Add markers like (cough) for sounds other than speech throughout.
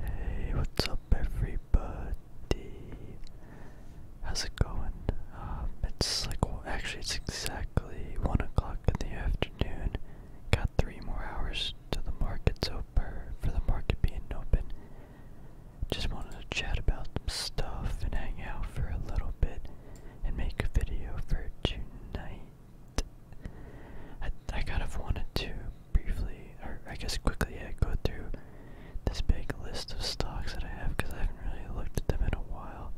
Hey, what's up, everybody? How's it going? Um, it's like, well, actually, it's exactly 1 o'clock in the afternoon. Got three more hours till the market's open, for the market being open. Just wanted to chat about some stuff and hang out for a little bit and make a video for tonight. I, kind of wanted to briefly, or I guess quickly, yeah, go through this big list of stocks that I have because I haven't really looked at them in a while.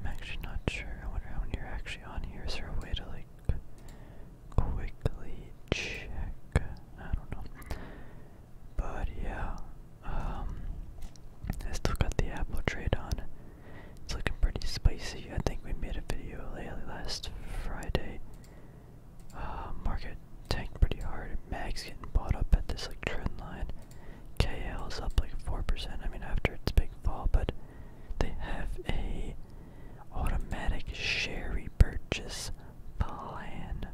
I'm actually not sure. I wonder how many are actually on here. Is there a way to like quickly check? I don't know. But yeah, um, I still got the Apple trade on. It's looking pretty spicy. I think we made a video lately last Friday uh, market tanked pretty hard. Mag's getting bought up at this like trend line. KL is up like four percent. I mean, after its big fall, but they have a automatic sherry purchase plan.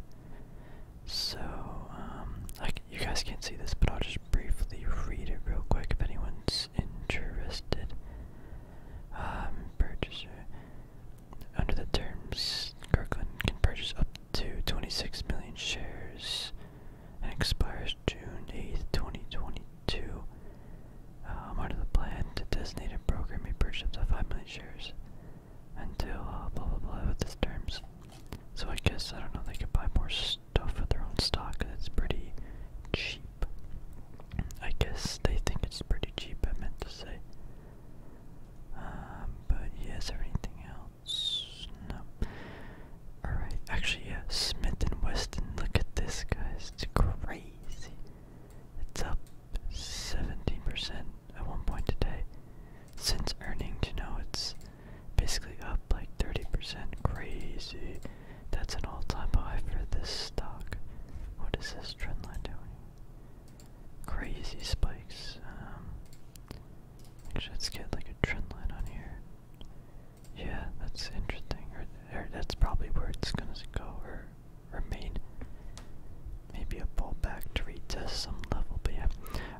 So, um, like you guys can't see this, but I'll just briefly read it real quick if anyone's interested. Um, purchaser. Under the terms, Kirkland can purchase up to 26 million shares and expires June 8, 2022. Um, under the plan, the designated broker may purchase up to 5 million shares until uh, blah blah blah with its terms. So I guess, I don't know, they could buy more stuff with their own stock because it's pretty cheap. I guess they think it's pretty cheap, I meant to say. Um, but yeah, is anything else? No. Alright, actually, yeah, Smith and Weston. Look at this, guys. It's crazy. It's up 17% at one point today. Since earnings, you know, it's basically up like 30%. Crazy. That's an all time high for this stock. What is this trend line doing? Crazy spikes. Um, get like a trend on here. Yeah, that's interesting. Or, that's probably where it's gonna go or remain. Maybe a pullback to retest some level, but yeah.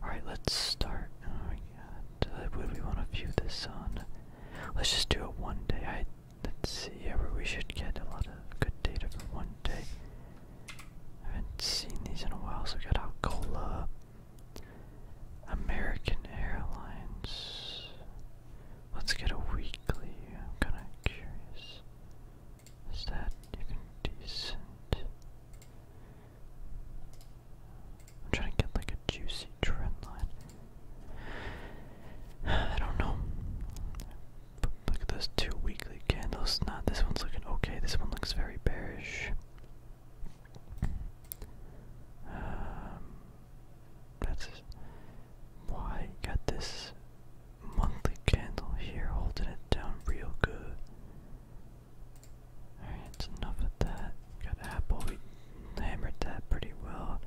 Alright, let's start. Oh my god. Uh, do we want to view this on? Let's just do it one day. I Let's see, yeah, we should get a lot of good data for one day. I haven't seen these in a while, so we got Alcola, American Airlines. Let's get a weekly, I'm kinda curious. Is that even decent? I'm trying to get like a juicy trend I don't know. Look at those two weekly candles. Not this one's looking okay. This one looks very bearish. Um, that's why got this monthly candle here holding it down real good. Alright, it's enough of that. Got Apple. We hammered that pretty well.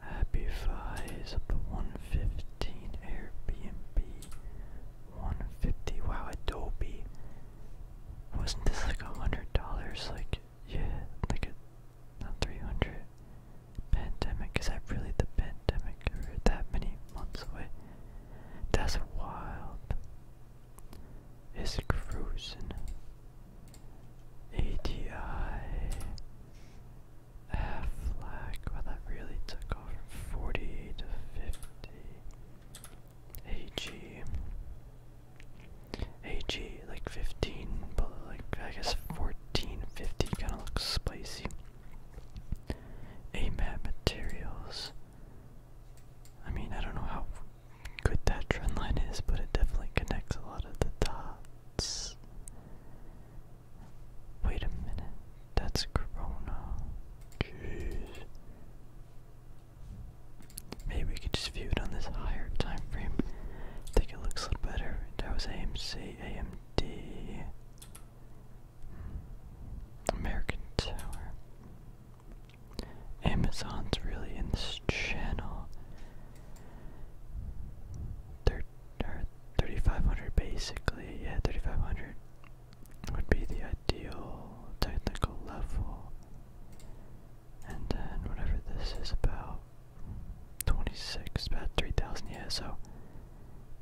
Happy Fies up to 115 Airbnb 150 wow Adobe wasn't this like a hundred dollars like yeah like a not 300 pandemic cause I really the pandemic or that many months away that's wild is cruising ATI F flag. Well, that really took off from 40 to 50. AG. AG, like 15, but like I guess 14, 50 kind of looks spicy. AMAT materials. I mean, I don't know how good that trend line is, but it definitely connects a lot at the top. Wait a minute. That's Corona. Maybe we could just view it on this higher time frame. I think it looks a little better. That was AMC, AMD, American Tower. Amazon's really in this channel. they 3500 basically, yeah, 3500 would be the ideal technical level. And then whatever this is about 26, about 3000, yeah, so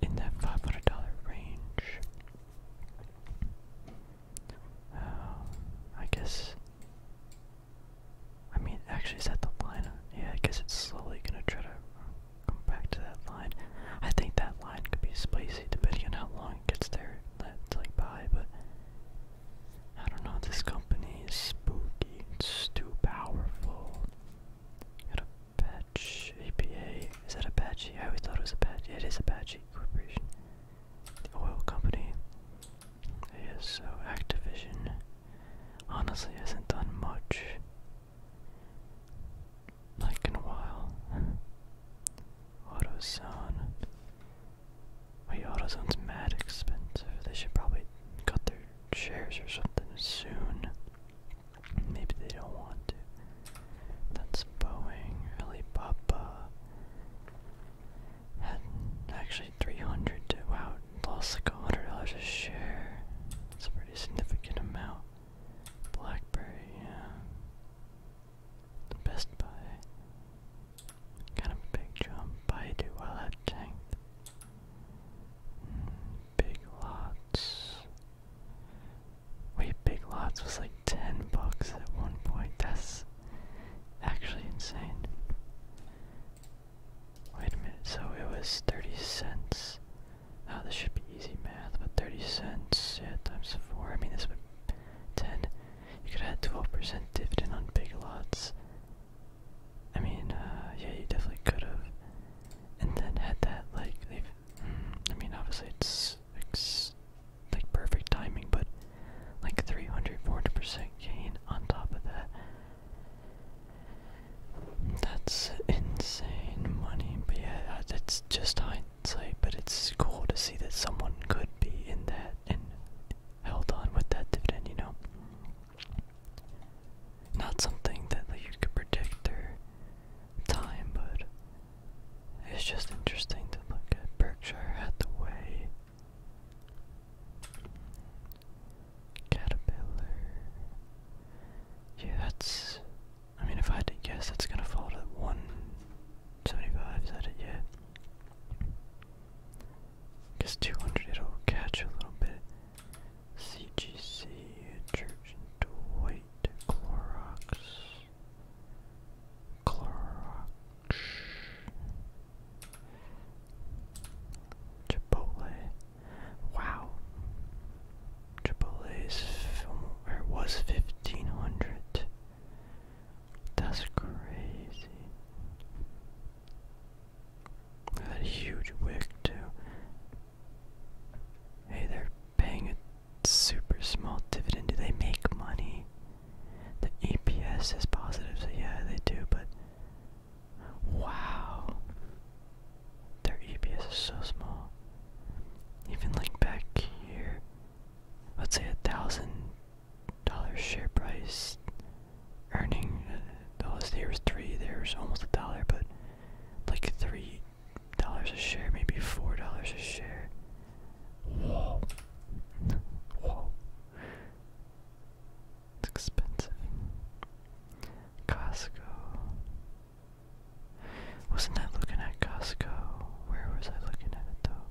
in that $500 range. Uh, I guess I mean, actually, is that the line? Yeah, I guess it's slowly gonna try to come back to that line. I think that line could be spicy depending on how long it gets there. That's like by, but I don't know. This company is spooky. It's too powerful. Got Apache APA. Is that a Apache? I always thought it was a Apache. It is a Apache Corporation. The oil company. Yes, so Activision honestly hasn't done much. Like in a while. (laughs) AutoZone. Wait, AutoZone's mad expensive. They should probably cut their shares or something soon. Maybe they don't want to. That's Boeing. Alibaba. Had actually 300 wow, Lost like a hundred dollars a share. It's a pretty significant amount. Blackberry, yeah. The Best Buy. Kind of a big jump. Baidu while that tanked. Mm, big lots. Wait, big lots was like ten bucks at one point. That's actually insane. Wait a minute, so it was 30 cents. Oh, this should be easy math, but 30 cents, yeah, times 4. I mean, this would 10. You could have had 12% dividend on big lots. I mean, uh, yeah, you definitely could have. And then had that, like, they've. Mm, I mean, obviously, it's, it's like perfect timing, but like 300, 400% gain on top of that. That's insane money, but yeah, that's just hindsight. But it's cool to see that someone could be in that and held on with that dividend, you know? Not something that you could predict or time, but it's just interesting to look at Berkshire Hathaway. Caterpillar. Yeah, that's. I mean, if I had to guess, that's gonna fall to 175, is that it? Yeah. I guess 200 it'll catch a little bit. CGC, Church and Dwight, Clorox. Clorox. Chipotle. Wow. AAA's film was fifteen hundred. That's crazy. That huge wig too. Hey, they're paying a super small dividend. Do they make money? The EPS is positive, so yeah, they do, but Wow. Their EPS is so small. Even like back here, let's say a thousand dollar share price earning. Uh, the last day was three. There's almost a dollar, but like three dollars a share, maybe four dollars a share. Whoa. Whoa. It's expensive. Costco. Wasn't I looking at Costco? Where was I looking at it though?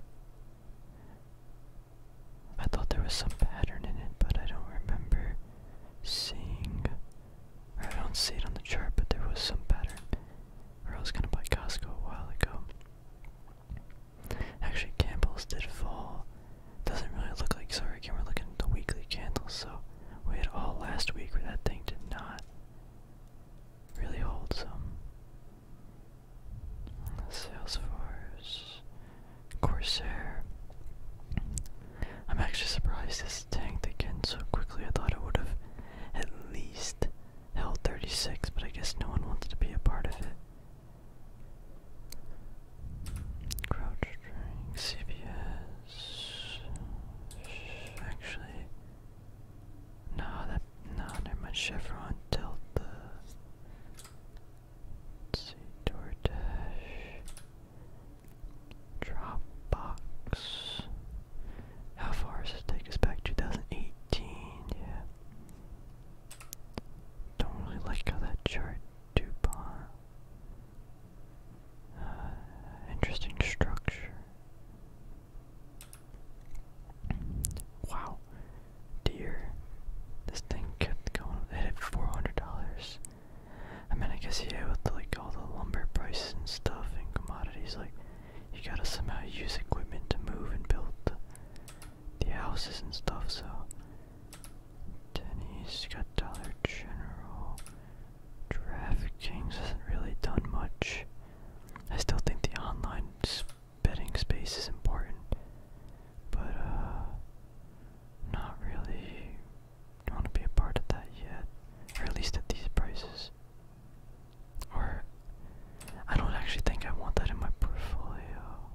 I thought there was some pattern in it, but I don't remember seeing. I don't see it on the chart, but there was some pattern. Or I was gonna buy Costco a while ago. Actually, Campbell's did fall doesn't really look like sorry again we're looking at the weekly candles, so we had all last week where that thing did not really hold some. Salesforce Corsair. I'm actually surprised this tanked again so quickly. I thought it would have at least held 36, but I guess no one wanted to be a part of it. CrowdStrike, CBS. Actually, no, that no, never mind. Chevron, Delta. Let's see, Dropbox. How far does this take us back? 2018, yeah. Don't really like how that chart DuPont. Uh, interesting structure. Wow. Dear. This thing kept going. It hit $400. I mean, I guess, yeah, with like all the lumber prices and stuff and commodities, like, you gotta somehow use equipment to move and build the houses and stuff, so Denny's, you got Dollar General. DraftKings hasn't really done much. I still think the online betting space is important, but uh, not really want to be a part of that yet, or at least at these prices. Or I don't actually think I want that in my portfolio.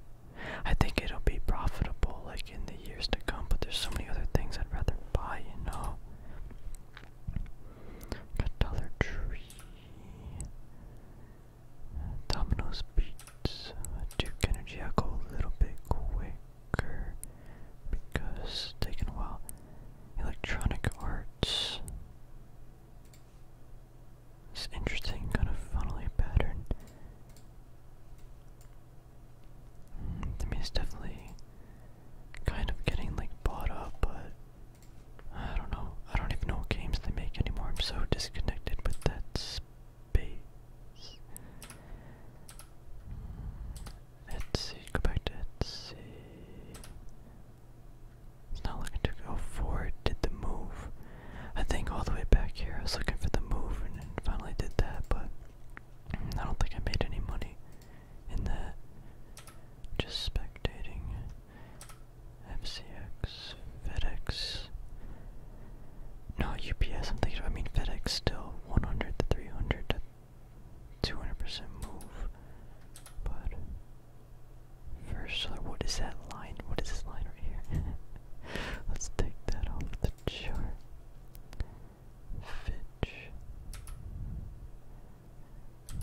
I think it'll be profitable like in the years to come, but there's so many other things I'd rather buy, you know. Dollar Tree, Domino's Pizza, Duke Energy. i go a little bit quicker because taking a while. Electronic Arts. This interesting kind of funnily pattern. I it's definitely kind of getting like bought up, but I don't know. I don't even know games they make anymore. I'm so disconnected with that space. let Go back to Etsy. It's not looking too good. Oh, Ford did the move. I think all the way back here I was looking for the move and finally did that, but I don't think I made any money in that. Just speculating. FCX, FedEx. No, UPS, I'm thinking, I mean, FedEx still 100 to 300 to 200% move. But, first, what is that line? What is this line right here? (laughs) Let's take that off the chart. Fitch.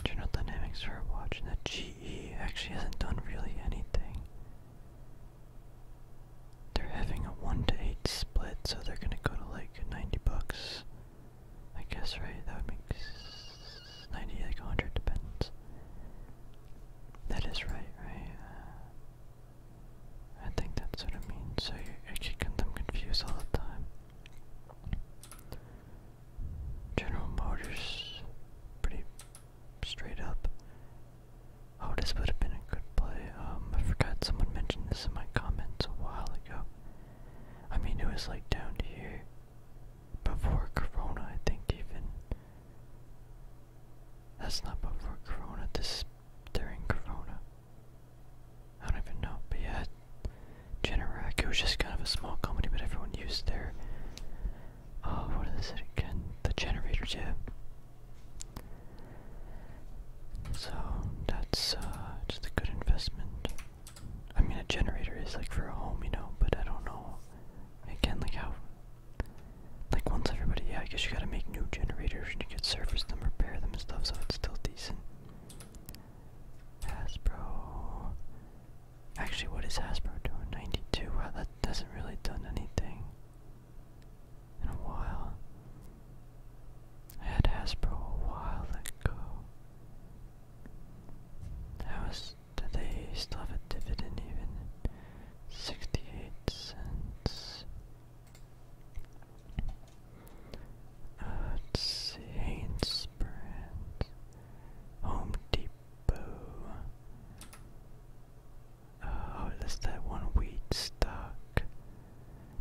General Dynamics for watching that GE actually hasn't done really anything. They're having a 1 to 8 split, so they're gonna go to like 90 bucks. I guess, right? That would make 90, like 100, depends. That is right, right? I think that's what I mean. so you actually get them confused all the time. General Motors, pretty straight up. Oh, this would have been a good play. Um, I forgot someone mentioned this in my comments a while ago. I mean, it was like down to here before Corona, I think, even. That's not before Corona, this is during Corona. I don't even know, but yeah, Generac, it was just kind of a small company, but everyone used their, oh, what is it again? The generator, yeah. So, that's uh, just a good investment. I mean, a generator is like for a home, you know, but I don't know, again, like how like once everybody, yeah, I guess you gotta make new generators and you could service them, repair them and stuff, so it's still decent. Hasbro. Actually, what is Hasbro doing? 92. Wow, that hasn't really done anything in a while. I had Hasbro a while ago. That was. Do they still have a dividend even? 68 cents. Uh, let's see, Hanes Brand, Home Depot. Uh, oh, that's that one wheat stock.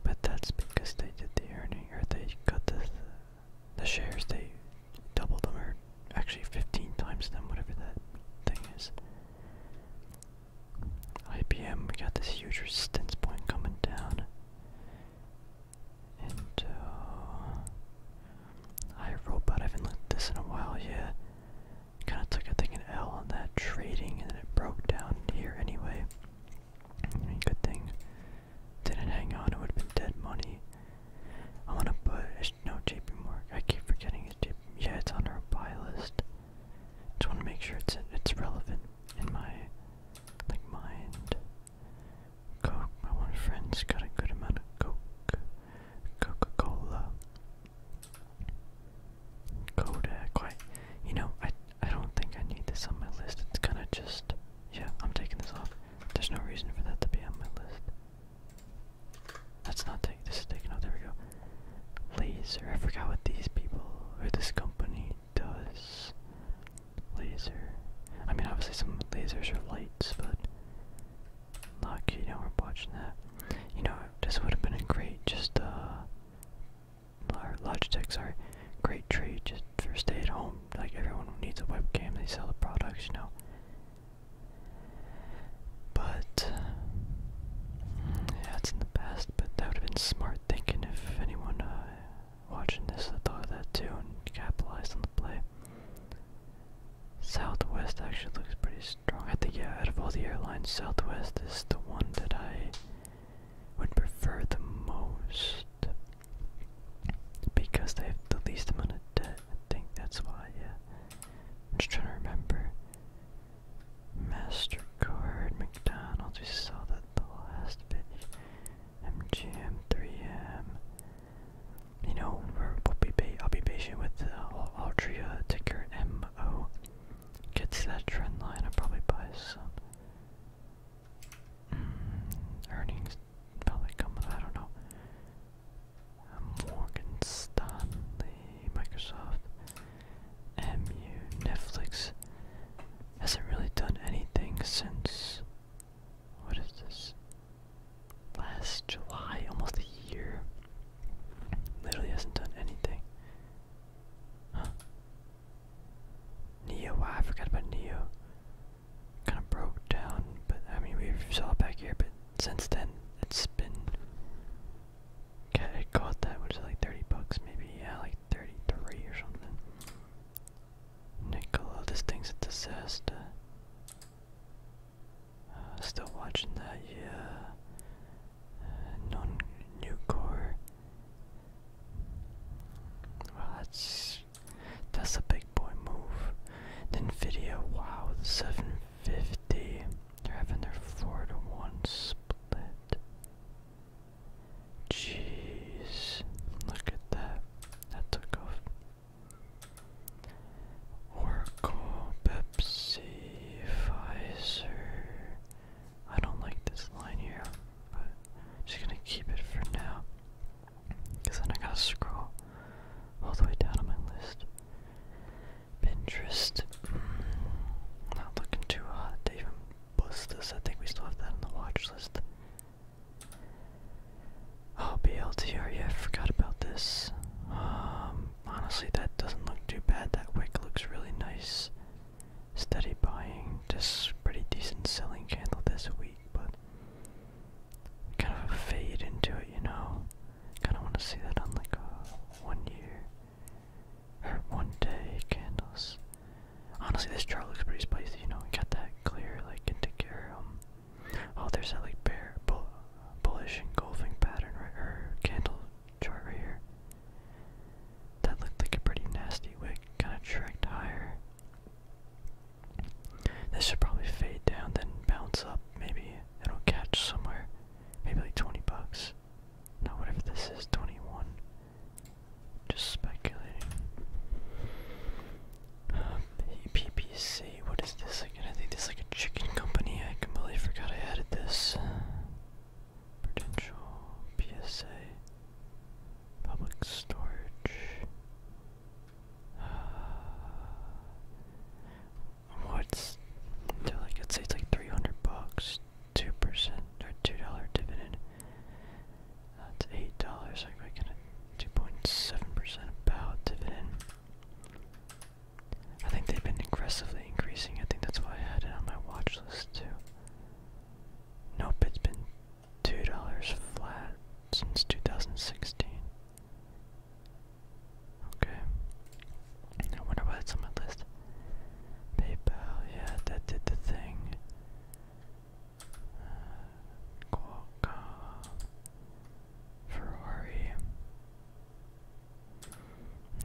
But that's because they did the earning, or they got the, the shares, they doubled them, or actually 15 times them, whatever that thing is. IBM, we got this huge resistance point coming down. And, uh, iRobot, I haven't looked this in a while Yeah, Kind of took, a think, an L on that trading, and then it broke down here anyway. good thing didn't hang on, it would have been dead money. I want to put, no, JP Morgan, I keep forgetting it. yeah, it's on our buy list. Just want to make sure it's it's relevant in my like mind. Coke. My one friend got a good amount of Coke. Coca-Cola. Kodak. Quite. You know, I I don't think I need this on my list. It's kind of just. Yeah, I'm taking this off. There's no reason for that to be on my list. That's not taken. This is taken out. There we go. Laser. I forgot what these people or this company does. Laser. I mean, obviously some lasers are lights, but like you know we're watching that. You know, this would have been a great just uh, Logitech. Sorry, great trade just for stay at home. Like everyone who needs a webcam. They sell the products, you know. But yeah, it's in the past. But that would have been smart thinking if anyone uh, watching this thought of that too and capitalized on the play. Southwest actually looks pretty strong. I think yeah, out of all the airlines, Southwest is the one that I would prefer the most because they have the least amount of debt. I think that's why. Yeah, I'm just trying to remember. MasterCard, McDonald's, we saw that the last bit. MGM, 3M. You know, we'll be pa I'll be patient with the uh, Altria ticker MO. Gets that trend line, I'll probably buy some. Mm, earnings probably coming, I don't know. Morgan Stanley, Microsoft. MU Netflix hasn't really done anything since what is this? Last July, almost a year. Literally hasn't done anything. Neo, wow, I forgot about Neo. Kind of broke down, but I mean, we saw it back here, but since then, it's been Okay, I got that. Which is like 30 bucks maybe? Yeah, like 33 or something. Nicola, this thing's a disaster. Uh, still watching that, yeah. Uh, non new Well, that's that's a big boy move. Nvidia, wow, 750. They're having their four to one split. Jeez, look at that. That took off. Oracle, Pepsi, Pfizer. I don't like this line here, but just gonna keep it for now. Cause then I gotta scroll all the way down on my list. Pinterest. Hmm, not looking too hot to even bust this. I think we still have that on the watch list. Oh, BLTR, yeah, I forgot about this. Um, honestly, that doesn't look too bad. That wick looks really nice. Steady buying, just pretty decent selling candle this week, but kind of a fade into it, you know. Kind of want to see that on like a one year one day candles. Honestly, this chart looks pretty spicy. You know, we got that clear like indicarum. Oh, there's that like bear bull, bullish engulfing pattern right or candle chart right here. That looked like a pretty nasty wick, kind of tricked higher. This should probably fade down, then bounce up. Maybe it'll catch somewhere. Maybe like 20 bucks. Now what if this is 21? Just speculating. Um, PPC, what is this again? I think this is like a chicken company. I completely forgot I added this. Potential PSA. Public storage. Uh, what's so like let's say it's like 300 bucks 2% or $2 dividend that's eight dollars I gonna 2.7% about dividend I think they've been aggressively increasing I think that's why I had it on my watch list too nope it's been $2 flat since 2016 Okay. I wonder why it's on my list. PayPal, yeah, that did the thing. Uh, Ferrari.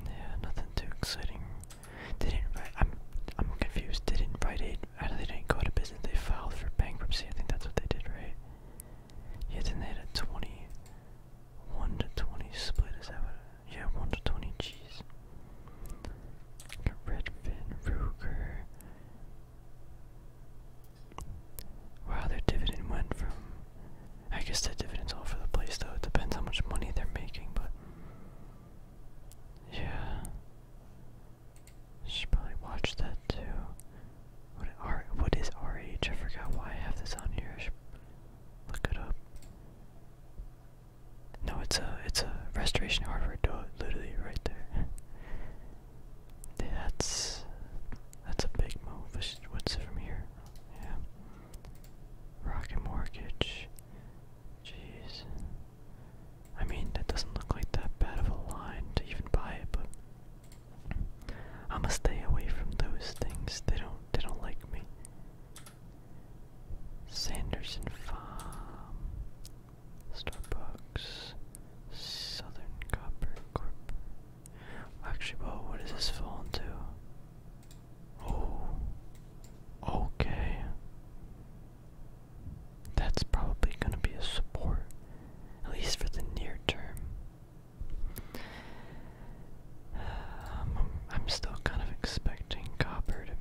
Yeah, nothing too exciting. didn't. I'm. I'm confused. They didn't Rite Aid. They didn't go out of business. They filed for bankruptcy. I think that's what they did, right? Yeah, then they had twenty. 1 to 20 split, is that Yeah, 1 to 20, jeez. Redfin, Ruger. Wow, their dividend went from. I guess the dividend's all for the place, though. It depends how much money they're making, but. Yeah. Should probably watch that too. What, R, what is RH? I forgot why I have this on here. Look it up. No, it's a it's a restoration hardware door literally right there. that's that's a big move. What's it from here? Yeah. Rocket mortgage. Jeez. I mean, that doesn't look like that bad of a line to even buy it, but i am stay away from those things. They don't they don't like me. Sanderson Farm. Starbucks. Southern Copper Corp. Actually, whoa, what this fall into? Oh. Okay. That's probably gonna be a support. At least for the near term. Um, I'm still kind of expecting copper to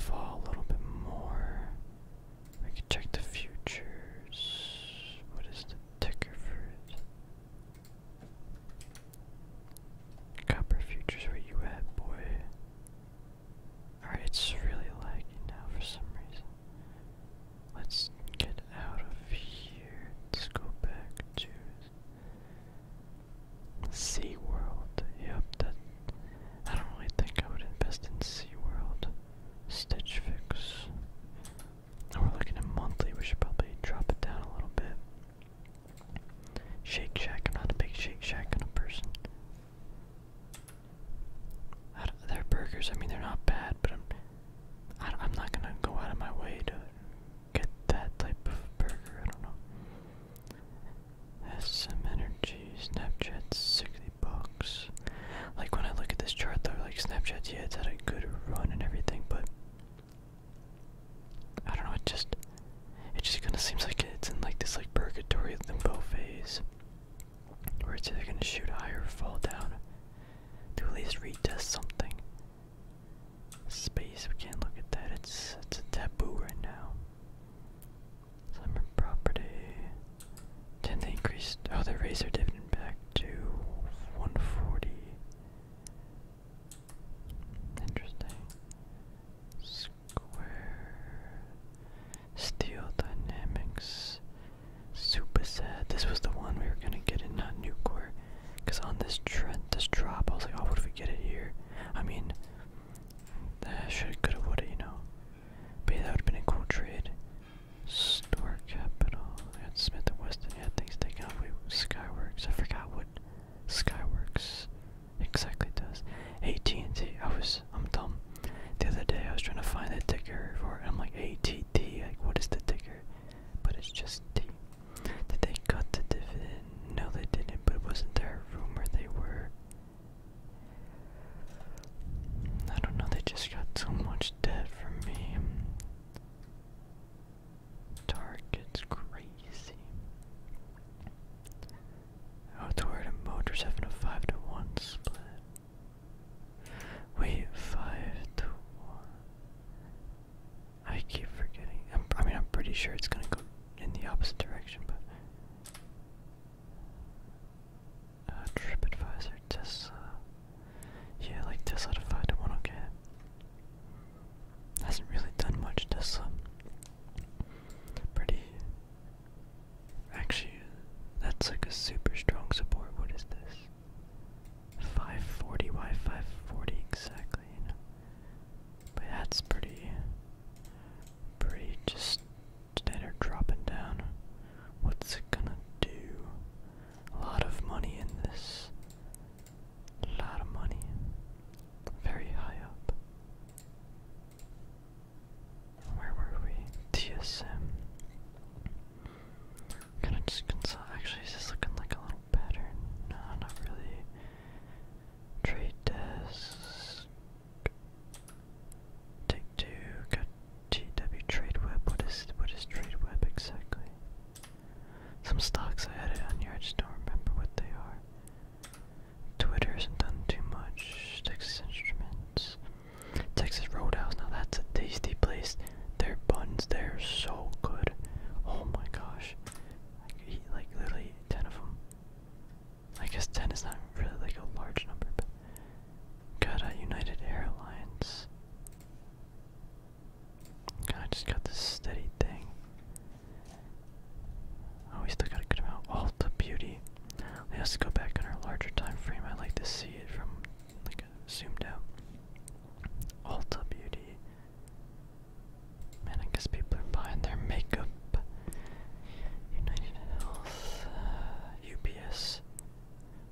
fall a little bit more. We can check the futures. What is the ticker for it? Copper futures, where you at, boy? Alright, it's really lagging now for some reason. Let's get out of here. Let's go back to SeaWorld. Yep, that. I don't really think I would invest in SeaWorld. Stitch Fix. we're looking at monthly. We should probably drop it down a little bit. Shake Shack. I'm not a big Shake Shack kind of person. They're burgers, I mean, they're not bad, but I'm, I, am i am not gonna go out of my way to get that type of burger, I don't know. SM Energy, Snapchat's 60 bucks. Like when I look at this chart though, like Snapchats, yeah, it's had a good run and everything, but I don't know, it just it just kinda seems like it's in like this like purgatory limbo phase. Where it's either gonna shoot high or fall down. To at least retest something space. We can't look at that. It's it's a taboo right now. Summer property. Then they Oh, they raised their dividend back to 140. Interesting. Square. Steel Dynamics. Super sad. This was the one we were gonna get in, not Nucor. Cause on this trend, this drop, I was like, oh, what if we get it here? I mean, that should could have would you know? But that would have been a cool trade. Store capital. Smith and Weston. Yeah, things taken off. Wait, Skyworks. I forgot what Skyworks exactly does. AT&T. I was. I'm dumb. The other day, I was trying to find the ticker for. It, I'm like ATT. Like, what is the ticker? But it's just T. Did they cut the dividend? No, they didn't, but it wasn't there a rumor they were? I don't know, they just got so much debt from me. Target's crazy. Oh, and Motor's having a 5 to 1 split. Wait, 5 to 1. I keep forgetting. I'm, mean, I'm pretty sure it's gonna go in the opposite direction, but. Uh, TripAdvisor, Tesla. Yeah, like Tesla to find one, okay. Hasn't really done much, Tesla. Pretty. Actually, that's like a super strong support. What is this? 540, why 540 exactly? But that's pretty, pretty just standard dropping down. What's it gonna do? A lot of money in this. A lot of money. Very high up. Where were we? TSM. Kinda just consult. Actually, this looking like a little pattern? No, not really. Trade desk. Take two. Got GW trade web. What is what is trade web exactly? Some stocks I added on here. I just don't remember what they are. Twitter hasn't done too much. Texas Instruments. Texas Roadhouse. Now that's a tasty place. Their buns, they're so good. Oh my gosh. like literally 10 of them. I guess 10 is not really like a large number, but. Got a United Airlines. God, I just got this steady thing. Oh, we still got a good amount. All oh, the beauty. Let us go back in our larger time frame. I like to see it from like zoomed out. Ulta Beauty. Man, I guess people are buying their makeup. United Health, uh,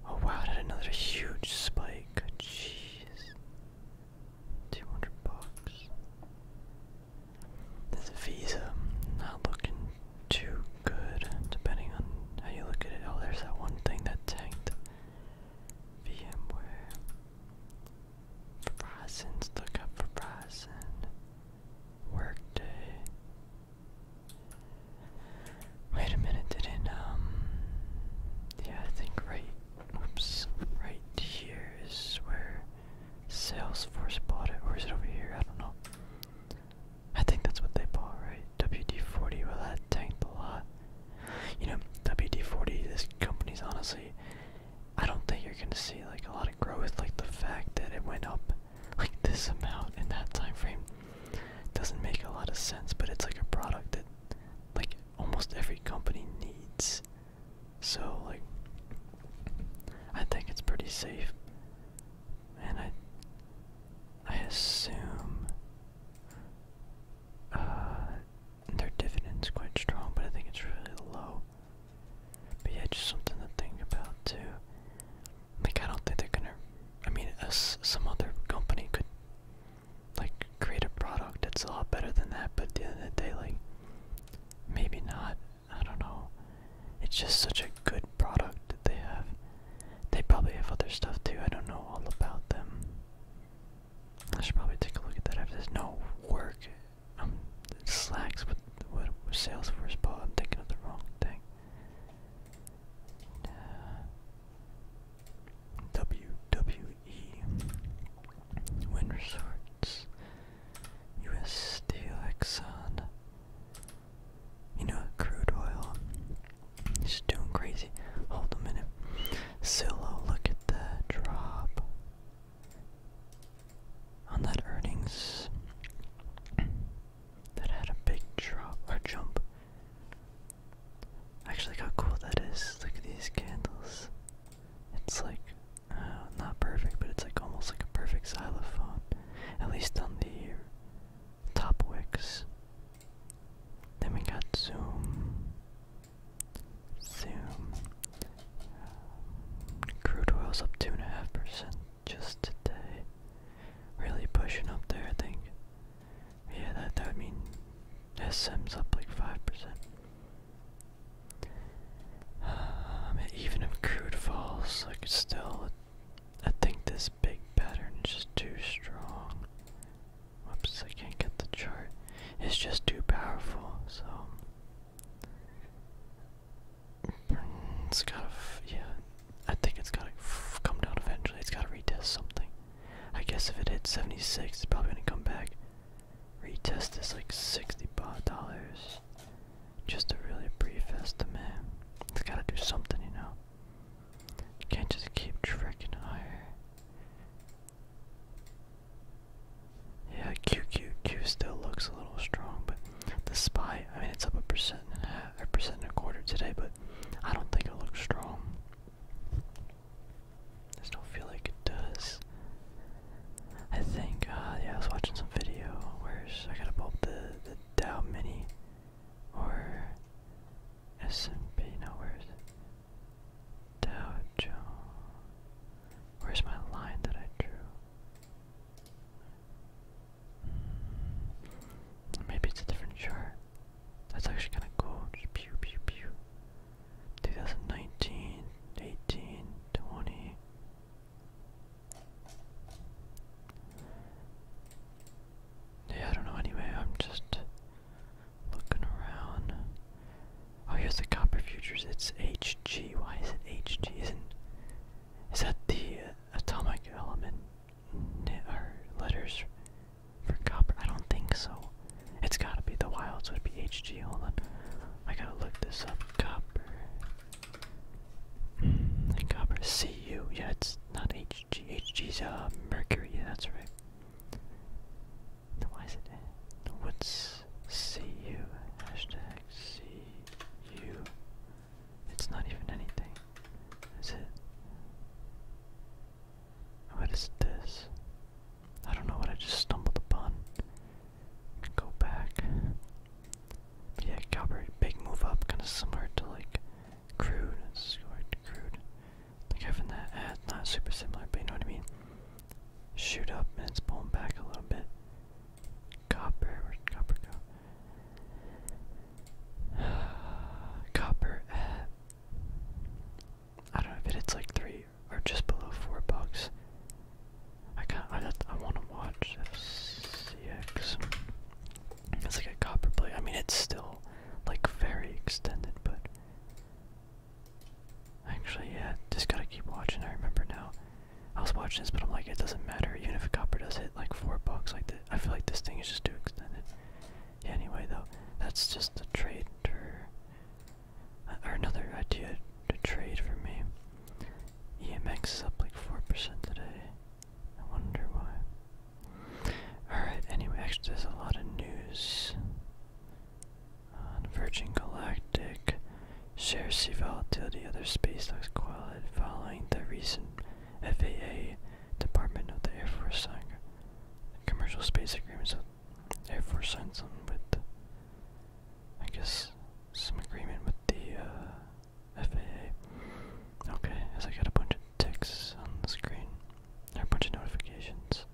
Oh wow, it had another huge spike. Jeez. 200 bucks. This Visa, not looking too good, depending on how you look at it. Oh, there's that one thing that tanked. VMware. Verizon's look up Verizon. Workday. Wait a minute, didn't um yeah I think right oops right here is where Salesforce bought it or is it over here? I don't know. I think that's what they bought, right? WD forty, well that tanked a lot. You know, WD-40, this company's honestly, I don't think you're gonna see like a lot of growth. Like the fact that it went up like this amount in that time frame doesn't make a lot of sense. But it's like a product that like almost every company needs. So like, I think it's pretty safe, and I, I assume. Uh, their dividend's quite strong, but I think it's really low. But yeah, just something to think about too. Like I don't think they're gonna. I mean, as some other company could like create a product that's a lot better than that, but at the end of the day, like maybe not. I don't know. It's just such a good product that they have. They probably have other stuff too. I don't know all about them. I should probably take a look at that after this. No work. Um, slacks with what with Salesforce bot. I'm thinking of the wrong thing. Uh, WWE, Win Resorts, U.S. Steel, Exxon. You know, crude oil. just doing crazy. Hold a minute. Solo, look at the drop on that earnings. That had a big drop or jump. Actually, look how cool that is. Look at these candles. It's like uh, not perfect, but it's like almost like a perfect xylophone. At least on the top wicks. Then we got Zoom. Zoom. Crude oil's up 2.5% just today. Really pushing up there, I think. Yeah, that, that would mean SM's up like 5%. (sighs) even if crude falls, like it's still, I think this big pattern is just too strong. Whoops, I can't get the chart. It's just too powerful, so. It's gotta, yeah. I think it's gotta come down eventually. It's gotta retest something. I guess if it hits 76, it's probably gonna come back. Retest is like 60 dollars. Just a really brief estimate. It's gotta do something, you know. Can't just keep tricking higher. Yeah, QQQ still looks a little strong, but the SPY, I mean, it's up a percent and a half, or percent and a quarter today, but I don't think it looks strong. I don't feel like it does. I think, uh, yeah, I was watching some video. Where's, I gotta pop the, the Dow Mini, or S&P, no, Dow Jones. Where's my line that I drew? Hmm, maybe it's a different chart. That's actually kind of cool. pew, pew, pew. 2019, 18, 20. Yeah, I don't know anyway, I'm just Looking around. Oh, here's the copper futures. It's HG. Why is it HG? Isn't is that the uh, atomic element or letters for copper? I don't think so. It's gotta be the wild, so it'd be HG. Hold on, I gotta look this up. Copper hmm, copper Cu. Yeah, it's not HG. HG's uh mercury. Yeah, that's right why is it in the woods? It's not even anything. Is it? What is this? I don't know what I just stumbled upon. Go back. yeah, Calvert, big move up, kind of similar to like crude. It's crude like having that ad, not super similar, but you know what I mean. Shoot up and it's pulling back a little bit. Copper, copper go? (sighs) copper I don't know if it's like three or just below four bucks. I can't. I, I want to watch FCX. It's like a copper plate. I mean, it's still like very extended, but Actually, yeah, just gotta keep watching. I remember now. I was watching this, but I'm like, it doesn't matter. Even if a copper does hit like four bucks, like that, I feel like this thing is just too extended. Yeah, anyway, though, that's just a trade or, uh, or another idea to trade for me. EMX is up like 4% today. I wonder why. Alright, anyway, actually, there's a lot of news. On Virgin Galactic, shares sea volatility, other space stocks qualified following the recent FAA Department of the Air Force signed commercial space agreements with Air Force signed something with, I guess, some agreement with the uh, FAA. Okay, as I got a bunch of ticks on the screen a bunch of notifications.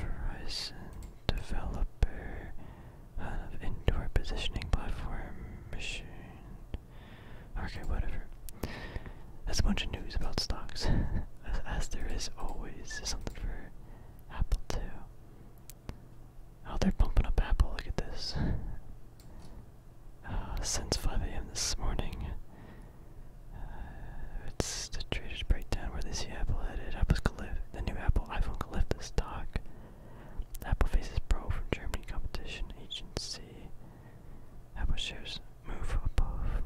Verizon developer of indoor positioning platform machine. Okay, whatever. That's a bunch of news about stocks, (laughs) as, there is always something for Apple too. Oh, they're pumping up Apple. Look at this. Uh, since 5 a.m. this morning, uh, it's the traders break down where they see Apple headed. Apple's collif the new Apple iPhone could the stock. Apple faces pro from Germany competition agency. Apple shares move above.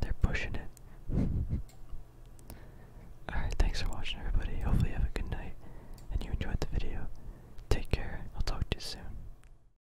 They're pushing it. (laughs) Alright, thanks for watching everybody. Hopefully you have a good night and you enjoyed the video. Take care. I'll talk to you soon.